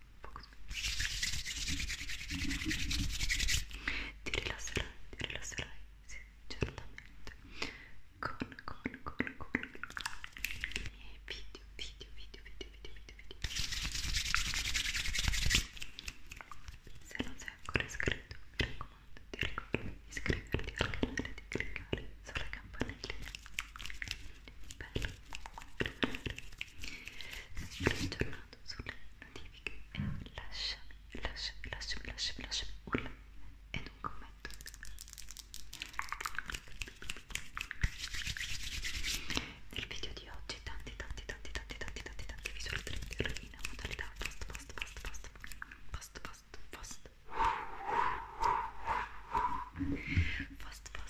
ti rilasserai, ti rilasserai, sì, certamente con, con, con, con e video, video, video, video, video, video, video se non sei ancora iscritto, mi raccomando, ti ricordo di iscriverti al canale, di cliccare sulla campanella bello, sono aggiornato sulle notifiche e eh, lasciami, lasciami, lasciami, lasciami, lasciami urla ed un commento. Nel video di oggi tanti, tanti, tanti, tanti, tanti, tanti, tanti visual trigger in modalità post, post, post, post, post, post, post, post, post, post,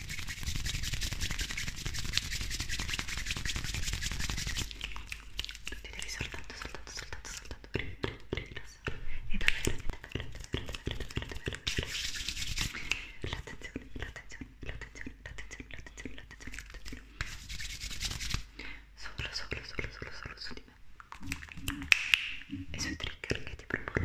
Tu ti devi soltanto, soltanto, soltanto, soltanto rilassare e davvero, davvero, davvero, davvero, davvero, davvero, davvero. L'attenzione, l'attenzione, l'attenzione, l'attenzione, l'attenzione, l'attenzione, l'attenzione. Solo, solo, solo, solo, solo su di me. E sui trigger che ti proporrò.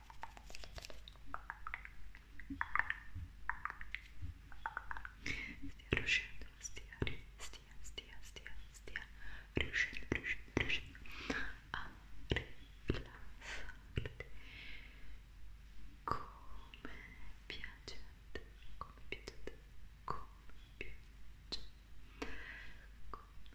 Stia riuscendo, stia, stia, stia, stia, stia riuscendo, riuscendo, riuscendo a rilassarti come piace a te, come piace a te, come piace, come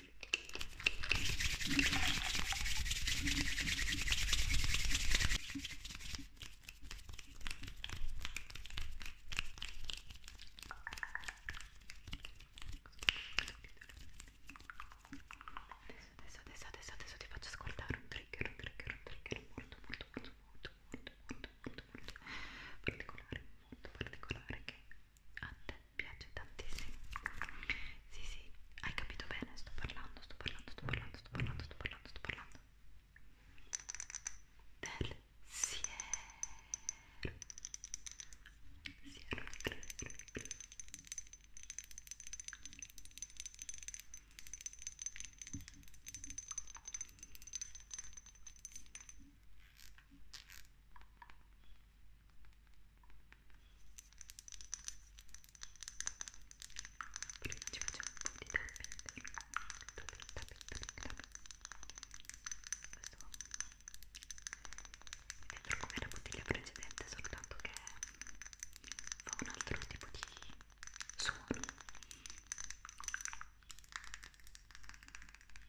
Adesso, adesso, adesso, adesso ti faccio ascoltare un trigger, un trigger, un trigger molto, molto, molto, molto, molto, molto, molto, molto particolare, molto particolare che a te piace tantissimo sì sì hai capito bene sto parlando sto parlando sto parlando sto parlando sto parlando sto parlando del siero siero ci facciamo un po' di tapping tapping, tapping, tapping, tapping. Questo qua Dentro come la bottiglia precedente soltanto che fa un altro tipo di suono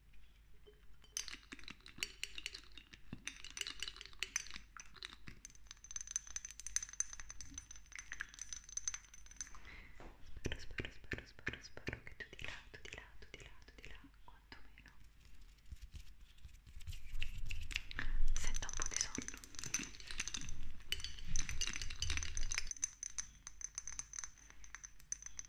Spero, spero, spero, spero, spero che tu di là, tu di là, tu di là, tu di là, quantomeno senta un po' di sonno. Spero, spero, spero,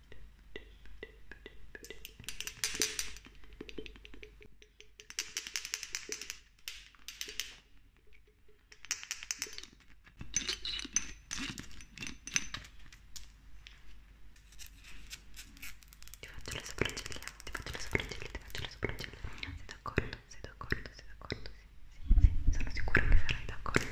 Ti faccio le sopracciglia, ti faccio le sopracciglia, ti faccio le sopracciglia. Sei d'accordo? Sei d'accordo? Sei d'accordo? Sì, sì, sì, sono sicura che sarai d'accordo.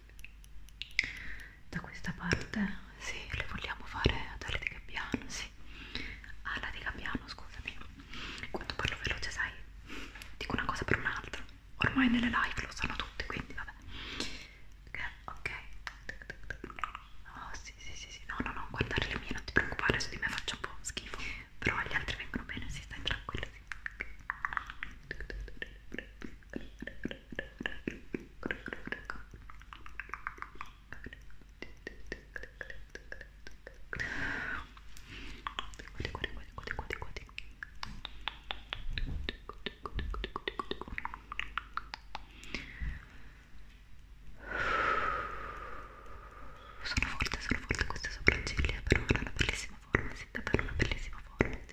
da questa parte sì, le vogliamo fare ad ali di gabbiano sì ala di gabbiano scusami quando parlo veloce sai dico una cosa per un'altra ormai nelle live lo sanno tutti quindi vabbè ok oh sì sì sì, sì. no no no guardare le mie non ti preoccupare su di me faccio un po' schifo però gli altri vengono bene si sì, stai tranquilla sì. Sono forte, sono forte queste sopracciglia, però hanno una bellissima forma, sì, davvero una bellissima forma. Sì.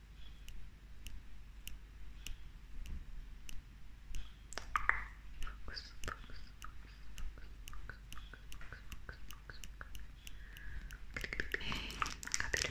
Focus, focus, focus, focus, focus, focus, capito, capito.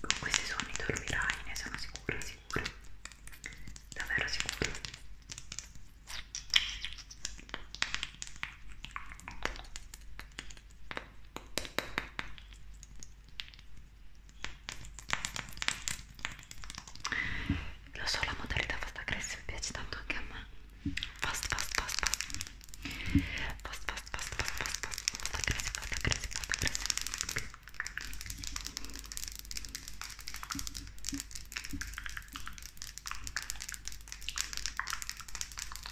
Con questi suoni dormirai, ne sono sicura, sicura, davvero sicura. Lo so, la modalità fast aggressive piace tanto anche a me. Fast, fast, fast, fast. Fast, fast, fast, fast, fast, fast, fast aggressive, fast aggressive, fast aggressive.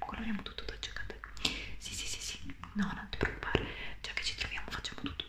coloriamo tutto dolce a sì sì sì sì no non ti preoccupare già che ci troviamo facciamo tutto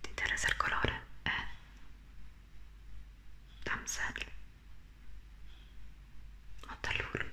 Ti interessa il colore? È eh. damsel o tallur?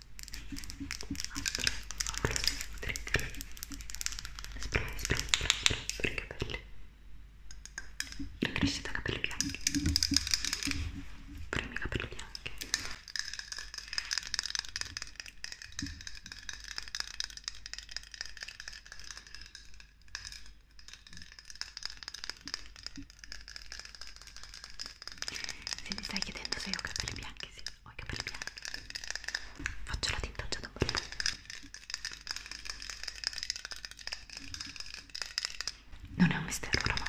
spray, spray, spray, spray per i capelli la crescita capelli bianchi per i miei capelli bianchi se mi stai chiedendo se ho capelli bianchi sì ho i capelli bianchi faccio la tinta già da un po' non è un mistero oramai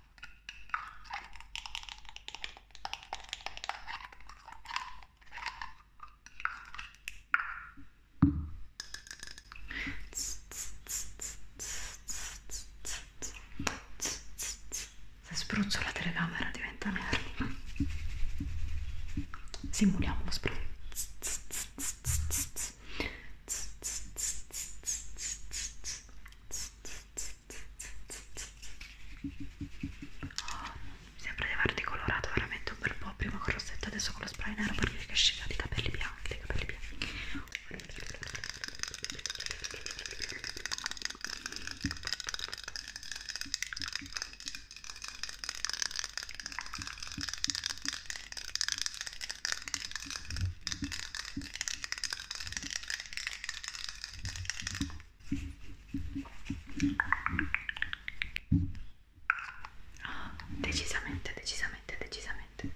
Se spruzzo la telecamera diventa nervo. Simuliamo lo spruzzo mi sembra di averti colorato veramente un bel po' prima con il rossetto adesso con lo spray nero perché che scelta di capelli bianchi dei capelli bianchi Oh, decisamente, decisamente, decisamente, decisamente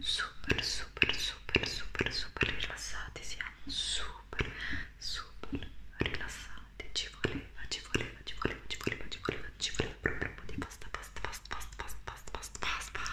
super, super, super, super, super rilassati. Siamo super, super rilassati. Ci voleva, ci voleva, ci voleva, ci voleva, ci voleva, ci voleva proprio un po' di pasta, pasta, pasta, pasta, pasta, pasta, pasta, pasta, pasta.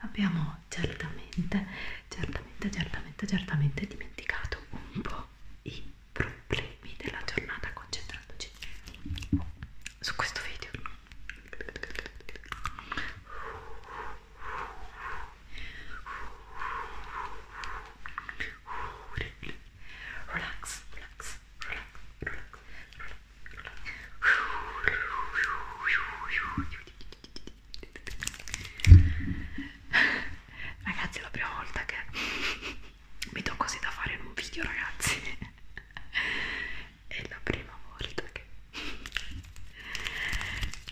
Abbiamo certamente, certamente, certamente, certamente dimenticato un po' i problemi della giornata concentrandoci su questo video. Relax, relax, relax, relax, relax. Ragazzi, è la prima volta che mi do così da fare in un video, ragazzi è la prima volta che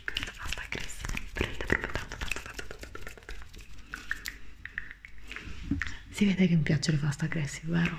questa pasta cressa mi prende proprio tanto tanto tanto tanto tanto si vede che mi piacciono le pasta cresse, vero?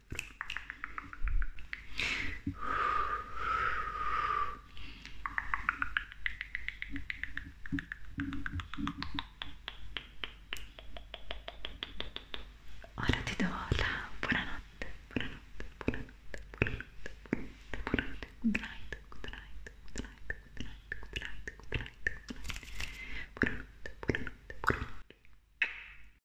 Ora ti do la buonanotte, buonanotte, buonanotte, buonanotte, buonanotte, buonanotte, good night, good night, good night, good night, good night, good night, good night, buonanotte, buonanotte, buonanotte.